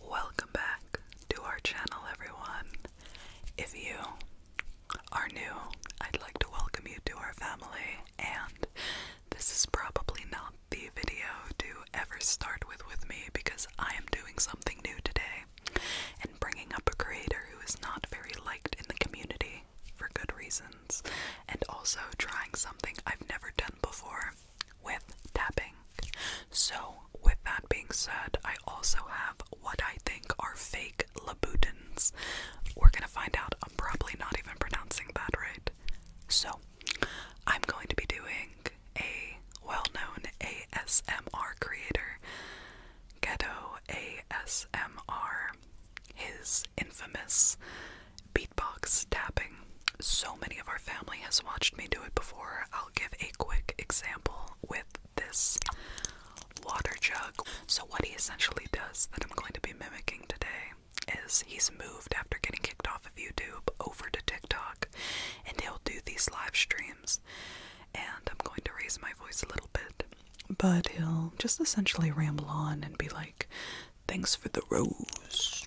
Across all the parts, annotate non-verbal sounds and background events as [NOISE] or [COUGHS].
Welcome back to our channel, everyone. If you are new, I'd like to welcome you to our family, and this is probably not the video to ever start with with me because I am doing something new today and bringing up a creator who is not very liked in the community for good reasons and also trying something I've never done before with tapping. So, with that being said, I also have what I think are fake Labutins. We're gonna find out. I'm probably not even pronouncing that right. So, I'm going to be doing a well known ASMR creator, Ghetto ASMR, his infamous beatbox tapping so many of our family has watched me do it before. I'll give a quick example with this water jug. So, what he essentially does that I'm going to be mimicking today is he's moved after getting kicked off of YouTube over to TikTok and he'll do these live streams. And I'm going to raise my voice a little bit, but he'll just essentially ramble on and be like, Thanks for the rose.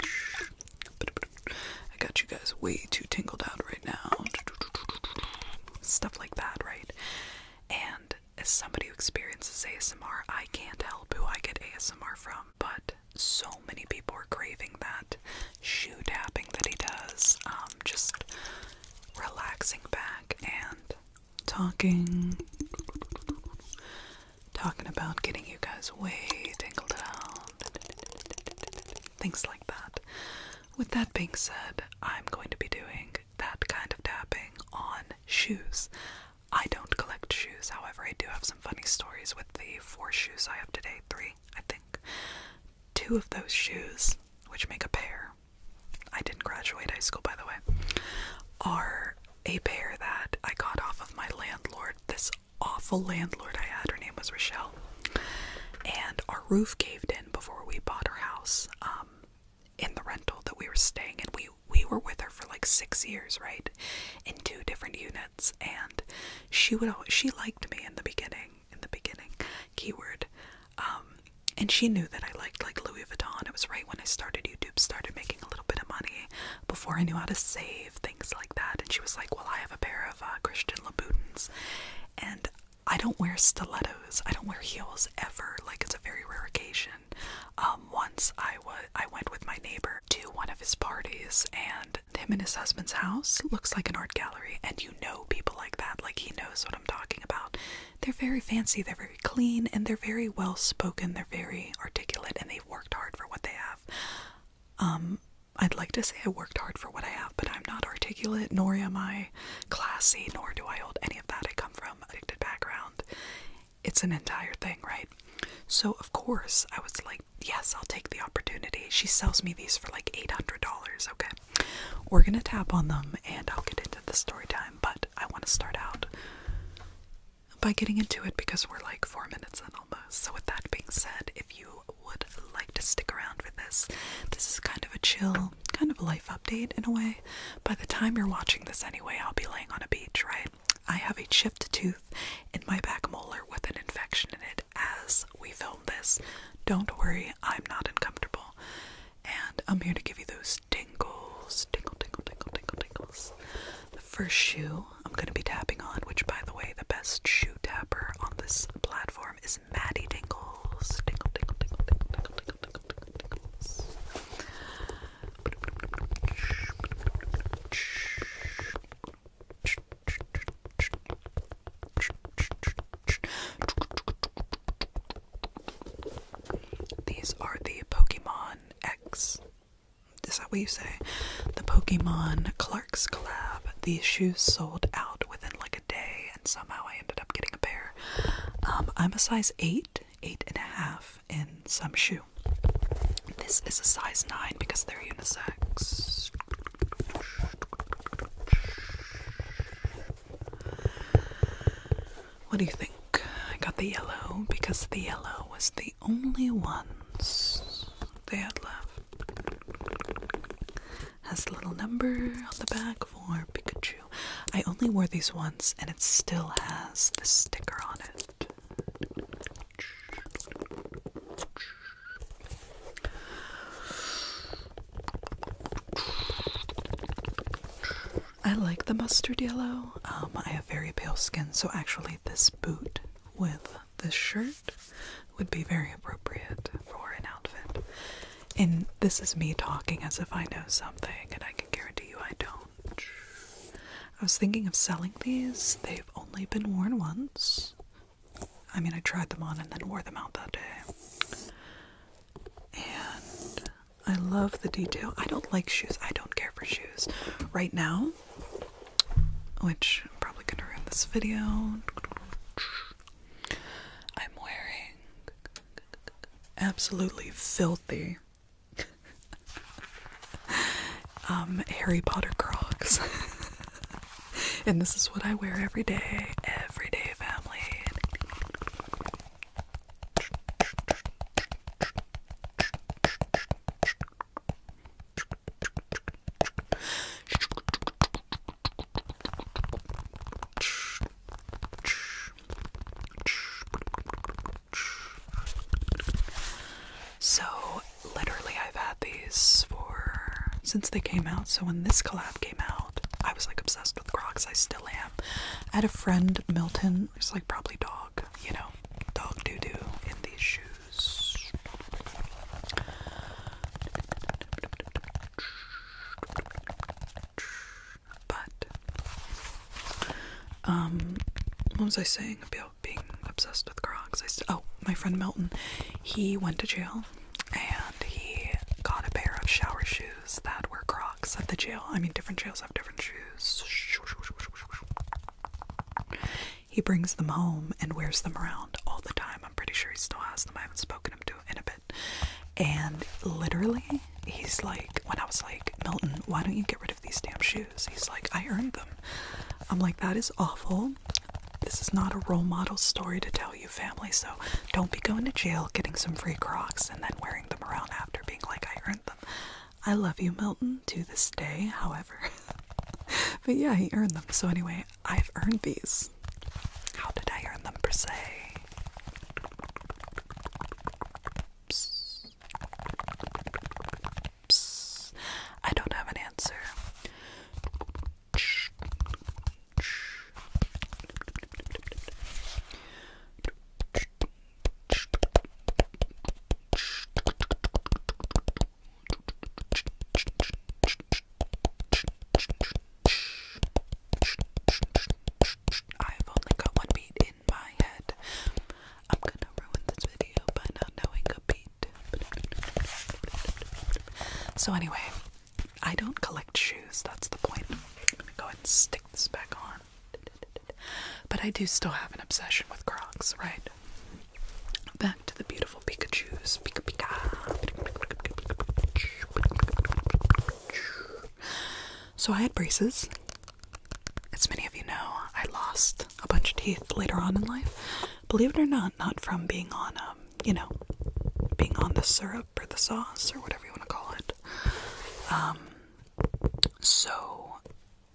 I got you guys way too tingled out right now. Stuff like that, right? And as somebody who experiences ASMR, I can't help who I get ASMR from, but so many people are craving that shoe tapping that he does. Um, just relaxing back and talking talking about getting you guys way tingled out, things like that. With that being said, I'm going to be doing that kind of tapping on shoes. I don't collect shoes, however, I do have some funny stories with the four shoes I have today three, I think. Two of those shoes, which make a pair, I didn't graduate high school by the way, are a pair that I got off of my landlord, this awful landlord I had. Her name was Rochelle. And our roof caved in before we bought our house um, in the rental that we were staying in. We, we were with her for like six years, right? In two different units. And she would always, she liked me in the beginning, in the beginning, keyword. Um, and she knew that I liked like Louis Vuitton. It was right when I started YouTube started making a little bit of money before I knew how to save things like that. And she was like, "Well, I have a pair of uh, Christian Louboutins, and I don't wear stilettos. I don't wear heels ever. Like it's a very rare occasion." Um, once I was, I went with my neighbor to one of his parties, and him and his husband's house looks like an art gallery. And you know people like that. Like he knows what I'm talking about. They're very fancy. They're very clean, and they're very well spoken. They're very articulate, and they worked hard for what they have. Um, I'd like to say I worked hard for what I have, but I'm not articulate, nor am I classy, nor do I hold any of that. I come from addicted background. It's an entire thing, right? So of course I was like, yes, I'll take the opportunity. She sells me these for like eight hundred dollars. Okay, we're gonna tap on them, and I'll get into the story time. But I want to start out by getting into it because we're like four minutes in almost. So, with that being said, if you would like to stick around for this, this is kind of a chill, kind of life update in a way. By the time you're watching this anyway, I'll be laying on a beach, right? I have a chipped tooth in my back molar with an infection in it as we film this. Don't worry, I'm not uncomfortable. And I'm here to give you those tingles, tingle, tingle, tingle, tingle, The first shoe I'm going to be tapping on, which by the way, the best shoe tapper on this platform is Maddie Tingles. These are the Pokemon X is that what you say? The Pokemon Clark's collab. These shoes sold out within like a day, and somehow I ended up getting a pair. Um, I'm a size eight, eight and a half in some shoe. This is a size nine because they're unisex. What do you think? I got the yellow because the yellow was the the only ones they had left. Has the little number on the back for Pikachu. I only wore these once and it still has the sticker on it. I like the mustard yellow. Um, I have very pale skin, so actually, this boot with this shirt would be very appropriate for an outfit. And this is me talking as if I know something, and I can guarantee you I don't. I was thinking of selling these, they've only been worn once. I mean, I tried them on and then wore them out that day. And I love the detail. I don't like shoes. I don't care for shoes right now, which I'm probably going to ruin this video. I'm wearing absolutely filthy [LAUGHS] um, Harry Potter Crocs. [LAUGHS] and this is what I wear every day. Everyday family. So, literally, I've had these for since they came out. So, when this collab came out, I was like obsessed with Crocs. I still am. I had a friend, Milton, who's like probably dog, you know, dog doo doo in these shoes. But, um, what was I saying about being obsessed with Crocs? I said, oh, my friend Melton, he went to jail and he got a pair of shower shoes that were Crocs at the jail. I mean, different jails have different shoes. He brings them home and wears them around all the time. I'm pretty sure he still has them. I haven't spoken to him in a bit. And literally, he's like, when I was like, Milton, why don't you get rid of these damn shoes? He's like, I earned them. I'm like, that is awful. This is not a role model story to tell you, family, so don't be going to jail, getting some free Crocs, and then wearing them around after being like, I earned them. I love you, Milton, to this day, however. [LAUGHS] but yeah, he earned them. So anyway, I've earned these. How did I earn them per se? Psst. Psst. I don't have an answer. I've only got one beat in my head. I'm gonna ruin this video by not knowing a beat. So, anyway, I don't collect shoes, that's the point. I'm gonna go ahead and stick this back on. But I do still have an obsession with Crocs, right? Back to the beautiful Pikachu's. Pika Pika. So I had braces. As many of you know, I lost a bunch of teeth later on in life. Believe it or not, not from being on, um, you know, being on the syrup or the sauce or whatever you want to call it. Um, so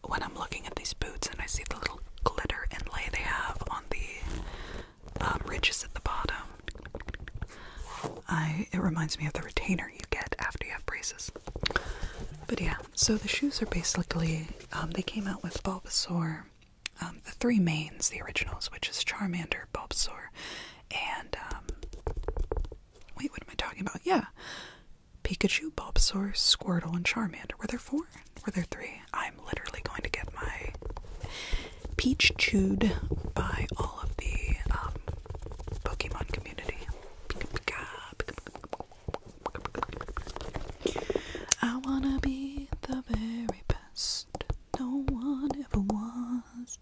when I'm looking at these boots and I see the little glitter and lay they have on the um, ridges at the bottom, I it reminds me of the retainer you get after you have braces. But yeah, so the shoes are basically um, they came out with Bulbasaur, um, the three mains, the originals, which is Charmander, Bulbasaur, and wait, what am I talking about? Yeah, Pikachu, Bob, Bulbasaur, Squirtle, and Charmander. Were there four? Were there three? I'm literally going to get my peach chewed by all of the Pokemon community. I wanna be the very best. No one ever was.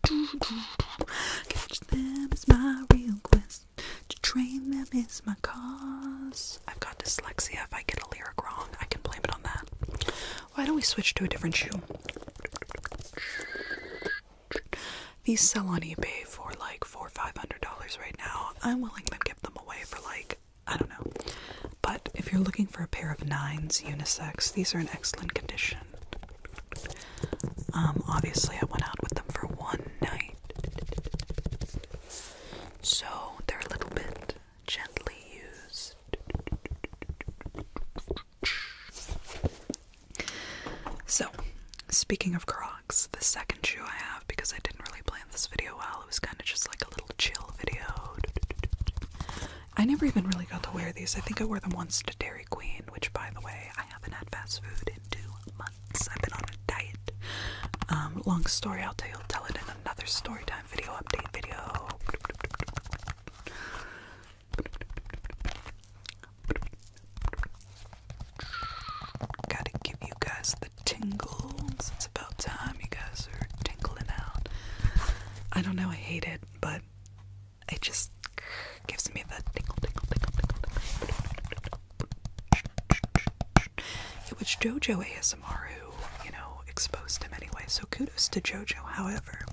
Catch them is my real quest to train them is my cause. I've got dyslexia. If I get a lyric wrong, I can blame it on that. Why don't we switch to a different shoe? These sell on eBay for like four or five hundred dollars right now. I'm willing to give them away for like I don't know. But if you're looking for a pair of nines unisex, these are in excellent condition. Um, obviously, I went out with them for one night. So they're a little bit gently used. So, speaking of Crocs, the second shoe I have, because I didn't really plan this video well, it was kind of just like a little chill video. I never even really got to wear these. I think I wore them once to Dairy Queen, which, by the way, I haven't had fast food in two months. I've been on a diet. Um, long story, I'll tell you, I'll tell it in another story time video update video. Gotta give you guys the tingles. It's about time you guys are tingling out. I don't know, I hate it, but it just gives me the tingle, tingle, tingle, tingle. It was JoJo ASMR who, you know, exposed him anyway, so kudos to JoJo, however.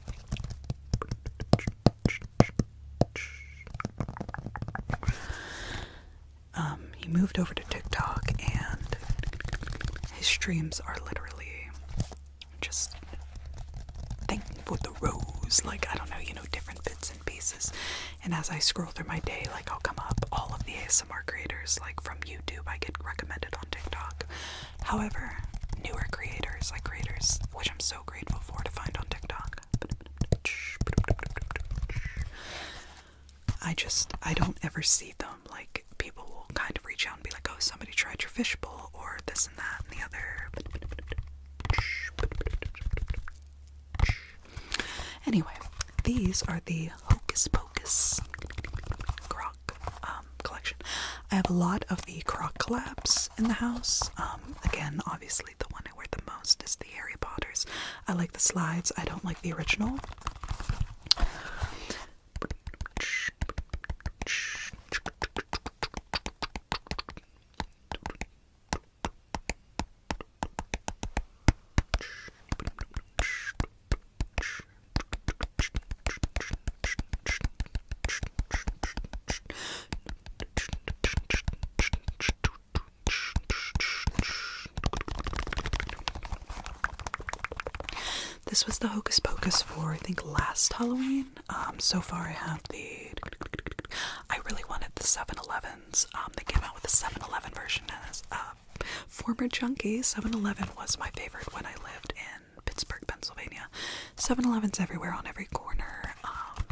Um, he moved over to TikTok and his streams are literally just thing for the rose. Like, I don't know, you know, different bits and pieces. And as I scroll through my day, like I'll come up all of the ASMR creators, like from YouTube, I get recommended on TikTok. However, newer creators, like creators, which I'm so grateful for to find on TikTok. I just, I don't ever see them. Like, people will kind of reach out and be like, oh, somebody tried your fishbowl, or this and that and the other. Anyway, these are the Hocus Pocus Croc um, collection. I have a lot of the Crock collabs in the house. Um, again, obviously, the one I wear the most is the Harry Potters. I like the slides, I don't like the original. This was the Hocus Pocus for I think last Halloween. Um, so far I have the I really wanted the 7-Elevens. Um, they came out with a 7-Eleven version as a uh, former junkie. 7-Eleven was my favorite when I lived in Pittsburgh, Pennsylvania. 7-Elevens everywhere on every corner. Um,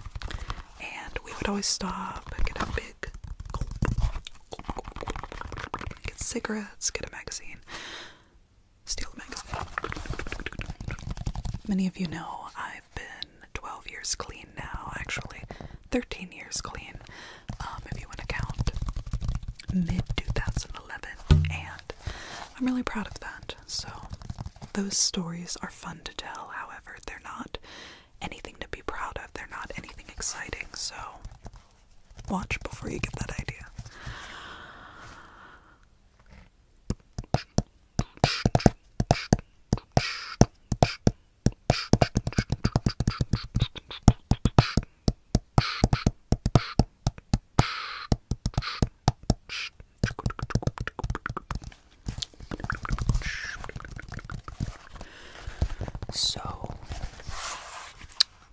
and we would always stop get a big get cigarettes, get a magazine, steal the magazine. Many of you know I been 12 years clean now, actually, 13 years clean, um, if you want to count, mid 2011. And I'm really proud of that. So, those stories are fun to tell, however, they're not anything to be proud of, they're not anything exciting. So, watch before you get that idea. So,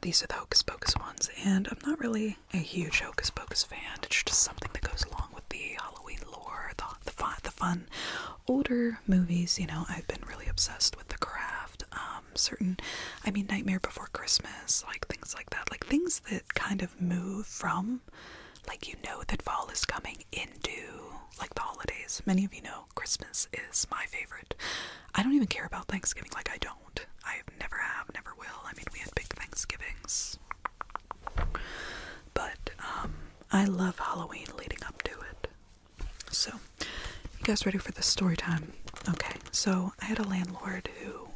these are the Hocus Pocus ones, and I'm not really a huge Hocus Pocus fan. It's just something that goes along with the Halloween lore, the the fun, older movies. You know, I've been really obsessed with The Craft. Um, certain, I mean, Nightmare Before Christmas, like things like that, like things that kind of move from, like you know that fall is coming into like the holidays. Many of you know Christmas is my favorite. I don't even care about Thanksgiving. Like I don't. I have never have, never will. I mean, we had big Thanksgivings. But um, I love Halloween leading up to it. So, you guys ready for the story time? Okay, so I had a landlord who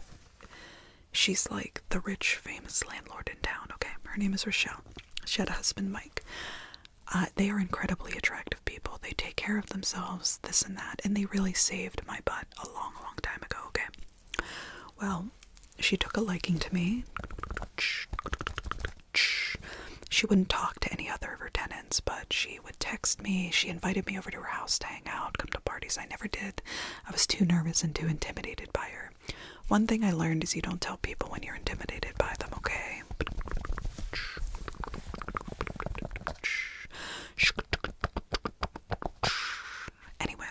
she's like the rich, famous landlord in town. Okay, her name is Rochelle. She had a husband, Mike. Uh, they are incredibly attractive people. They take care of themselves, this and that, and they really saved my butt a long, long time ago. Okay, well, she took a liking to me. She wouldn't talk to any other of her tenants, but she would text me. She invited me over to her house to hang out, come to parties. I never did. I was too nervous and too intimidated by her. One thing I learned is you don't tell people when you're intimidated by them, okay? Anyway,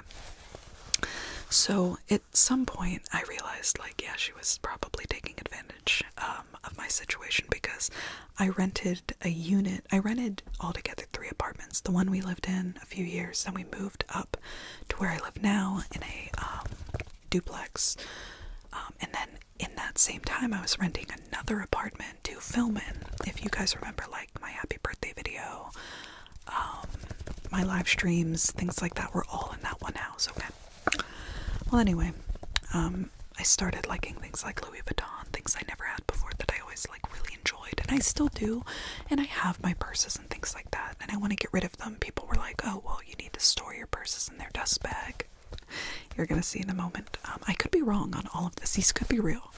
so at some point I realized, like, yeah, she was probably taking advantage um, of my situation because I rented a unit. I rented altogether three apartments the one we lived in a few years, then we moved up to where I live now in a um, duplex. Um, and then in that same time, I was renting another apartment to film in. If you guys remember, like, my happy birthday video, um, my live streams, things like that were all in that one house. Okay. Well, anyway, um, I started liking things like Louis Vuitton, things I never had before that I always like really enjoyed, and I still do. And I have my purses and things like that, and I want to get rid of them. People were like, "Oh, well, you need to store your purses in their dust bag." You're gonna see in a moment. Um, I could be wrong on all of this. These could be real.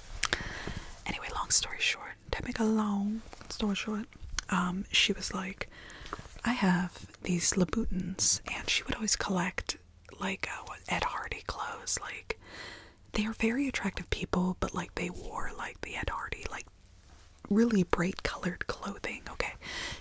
Anyway, long story short, to make a long story short, um, she was like, I have these Labutins, and she would always collect like uh, Ed Hardy clothes. Like, they are very attractive people, but like they wore like the Ed Hardy, like really bright colored clothing. Okay,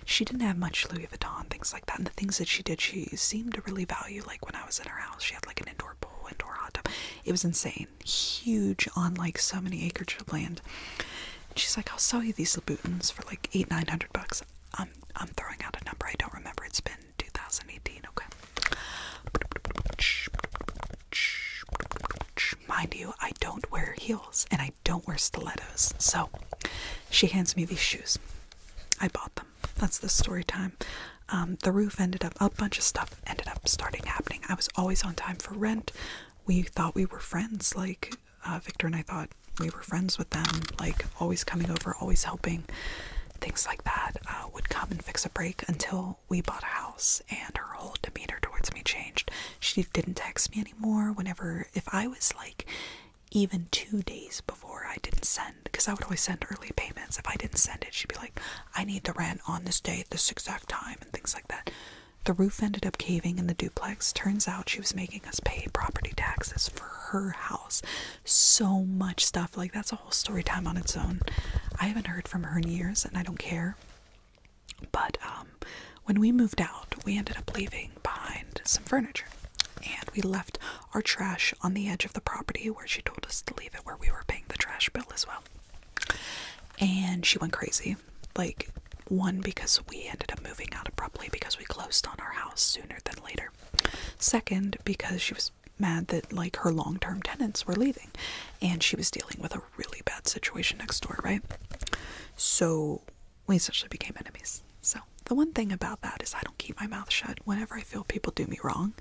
she didn't have much Louis Vuitton, things like that. And the things that she did, she seemed to really value. Like, when I was in her house, she had like an indoor pool, indoor hot tub. It was insane huge on like so many acres of land. And she's like, I'll sell you these Louboutins for like eight, nine hundred bucks. I'm I'm throwing out a number I don't remember. It's been 2018. Okay. Mind you, I don't wear heels and I don't wear stilettos. So she hands me these shoes. I bought them. That's the story time. Um, the roof ended up, a bunch of stuff ended up starting happening. I was always on time for rent we thought we were friends. Like, uh, Victor and I thought we were friends with them, like, always coming over, always helping. Things like that uh, would come and fix a break until we bought a house, and her whole demeanor towards me changed. She didn't text me anymore. Whenever, if I was like, even two days before I didn't send, because I would always send early payments. If I didn't send it, she'd be like, I need the rent on this day this exact time, and things like that. The roof ended up caving in the duplex. Turns out she was making us pay property taxes for her house. So much stuff. Like, that's a whole story time on its own. I haven't heard from her in years and I don't care. But um, when we moved out, we ended up leaving behind some furniture. And we left our trash on the edge of the property where she told us to leave it, where we were paying the trash bill as well. And she went crazy like one because we ended up moving out abruptly because we closed on our house sooner than later. Second, because she was mad that like her long-term tenants were leaving and she was dealing with a really bad situation next door, right? So we essentially became enemies. So the one thing about that is I don't keep my mouth shut whenever I feel people do me wrong.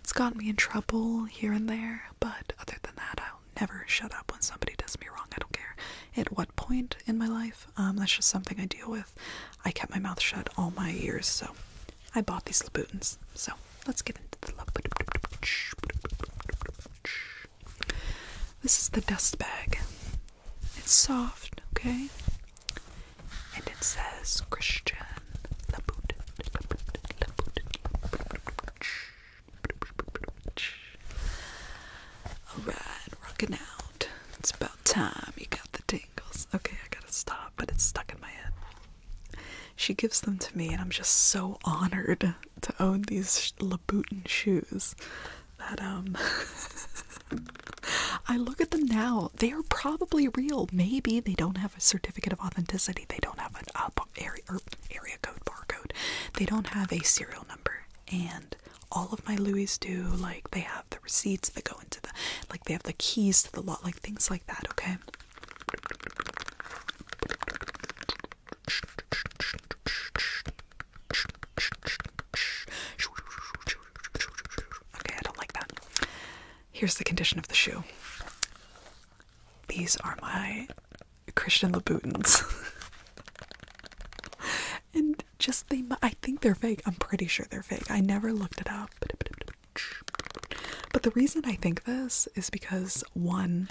It's gotten me in trouble here and there, but other than that, i don't never shut up when somebody does me wrong. I don't care at what point in my life. Um, that's just something I deal with. I kept my mouth shut all my years, so I bought these Labutins. So let's get into the Labutin. This is the dust bag. It's soft, okay? And it says Christian Labutin. Alright, rocking out. It's about time you got the tingles. Okay, I gotta stop, but it's stuck in my head. She gives them to me, and I'm just so honored to own these Labutin shoes. That, um. [LAUGHS] I look at them now. They are probably real. Maybe they don't have a certificate of authenticity. They don't have an area, or er, area code, barcode. They don't have a serial number. And all of my Louis do. Like they have the receipts that go into the, like they have the keys to the lot, like things like that. Okay. Okay, I don't like that. Here's the condition of the shoe. These are my Christian Labutins. [LAUGHS] and just they I think they're fake. I'm pretty sure they're fake. I never looked it up. But the reason I think this is because one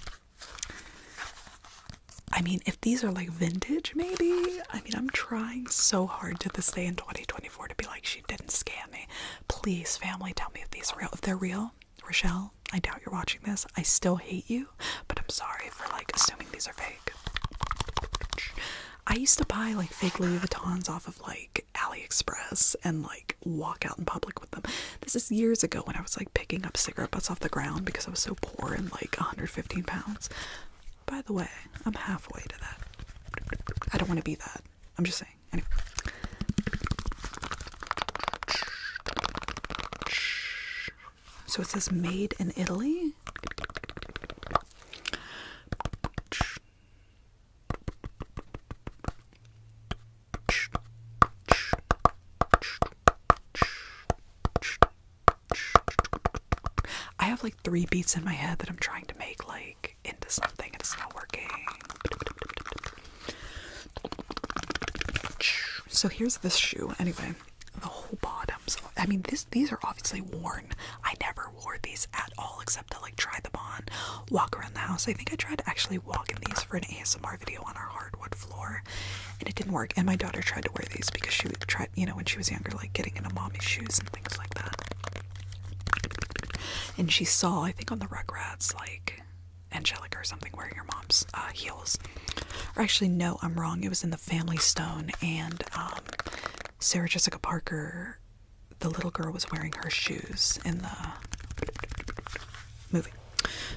I mean, if these are like vintage maybe, I mean, I'm trying so hard to this day in 2024 to be like she didn't scam me. Please family, tell me if these are real. If they're real, Rochelle, I doubt you're watching this. I still hate you, but I'm sorry for like assuming these are fake. I used to buy like fake Louis Vuittons off of like AliExpress and like walk out in public with them. This is years ago when I was like picking up cigarette butts off the ground because I was so poor and like 115 pounds. By the way, I'm halfway to that. I don't want to be that. I'm just saying. Anyway. So it says made in Italy. I have like three beats in my head that I'm trying to make like into something and it's not working. So here's this shoe. Anyway, the whole bottoms. I mean, this these are obviously worn. I never wore these at all except to like try them on, walk around the house. I think I tried to actually walk in these for an ASMR video on our hardwood floor, and it didn't work. And my daughter tried to wear these because she would try, you know, when she was younger, like getting in a mommy's shoes and things like that. And she saw, I think, on the Rugrats, like Angelica or something wearing your mom's uh, heels. Or actually, no, I'm wrong. It was in The Family Stone, and um, Sarah Jessica Parker, the little girl, was wearing her shoes in the movie.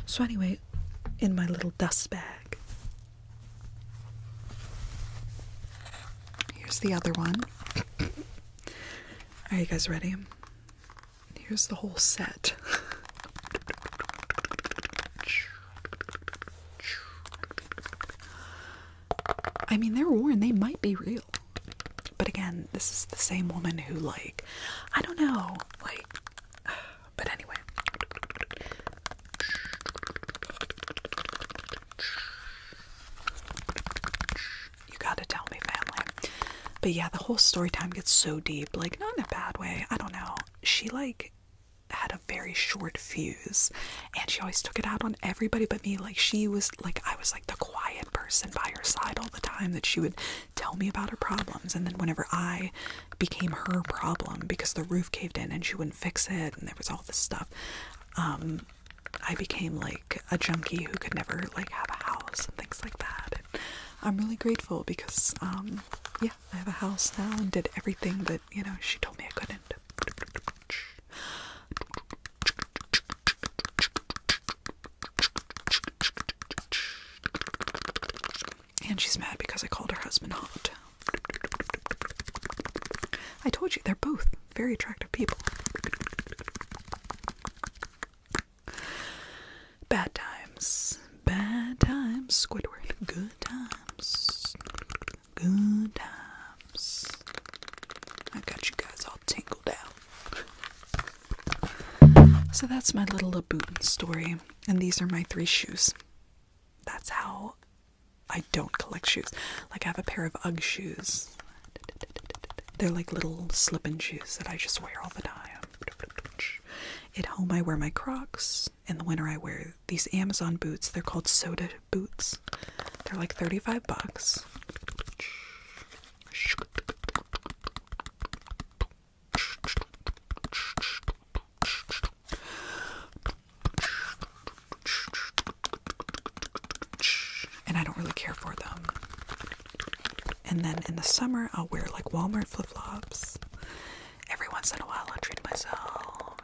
So, anyway, in my little dust bag, here's the other one. [COUGHS] Are you guys ready? Here's the whole set. I mean, they're worn, they might be real. But again, this is the same woman who, like, I don't know, like, [SIGHS] but anyway. You gotta tell me, family. But yeah, the whole story time gets so deep, like not in a bad way. I don't know. She like had a very short fuse and she always took it out on everybody but me. Like she was like I was like the quiet person by her side all the time that she would tell me about her problems and then whenever I became her problem because the roof caved in and she wouldn't fix it and there was all this stuff. Um I became like a junkie who could never like have a house and things like that. I'm really grateful because, um, yeah, I have a house now and did everything that, you know, she told me I couldn't. And she's mad because I called her husband hot. I told you, they're both very attractive people. Bad times. Bad times. Squidward. Good times. Good times. i got you guys all tangled up. So that's my little Labutin story. And these are my three shoes. That's how I don't collect shoes. Like I have a pair of Ugg shoes. They're like little slip-in shoes that I just wear all the time. At home, I wear my Crocs. In the winter, I wear these Amazon boots. They're called soda boots. They're like 35 bucks. And I don't really care for them. And then in the summer, I'll wear like Walmart flip flops. Every once in a while, I'll treat myself.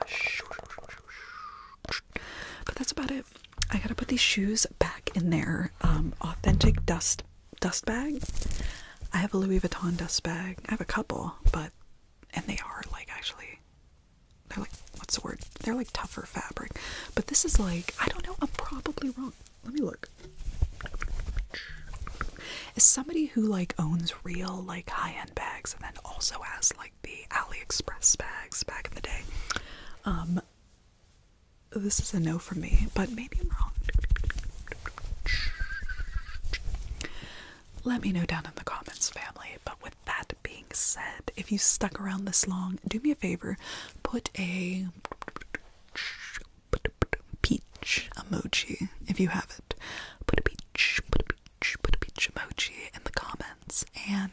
But that's about it. I gotta put these shoes back in their um, authentic dust dust bag. I have a Louis Vuitton dust bag. I have a couple, but and they are like actually they're like what's the word? They're like tougher fabric. But this is like I don't know. I'm probably wrong let me look. Is somebody who like owns real like high-end bags and then also has like the AliExpress bags back in the day, um, this is a no for me, but maybe I'm wrong. Let me know down in the comments, family. But with that being said, if you stuck around this long, do me a favor, put a peach emoji if you have it. Put a peach, put a peach, put a peach emoji in the comments. And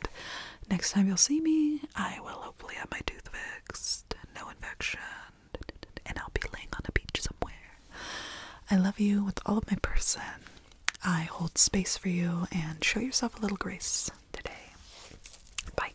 next time you'll see me, I will hopefully have my tooth fixed, no infection, and I'll be laying on a beach somewhere. I love you with all of my person. I hold space for you and show yourself a little grace today. Bye.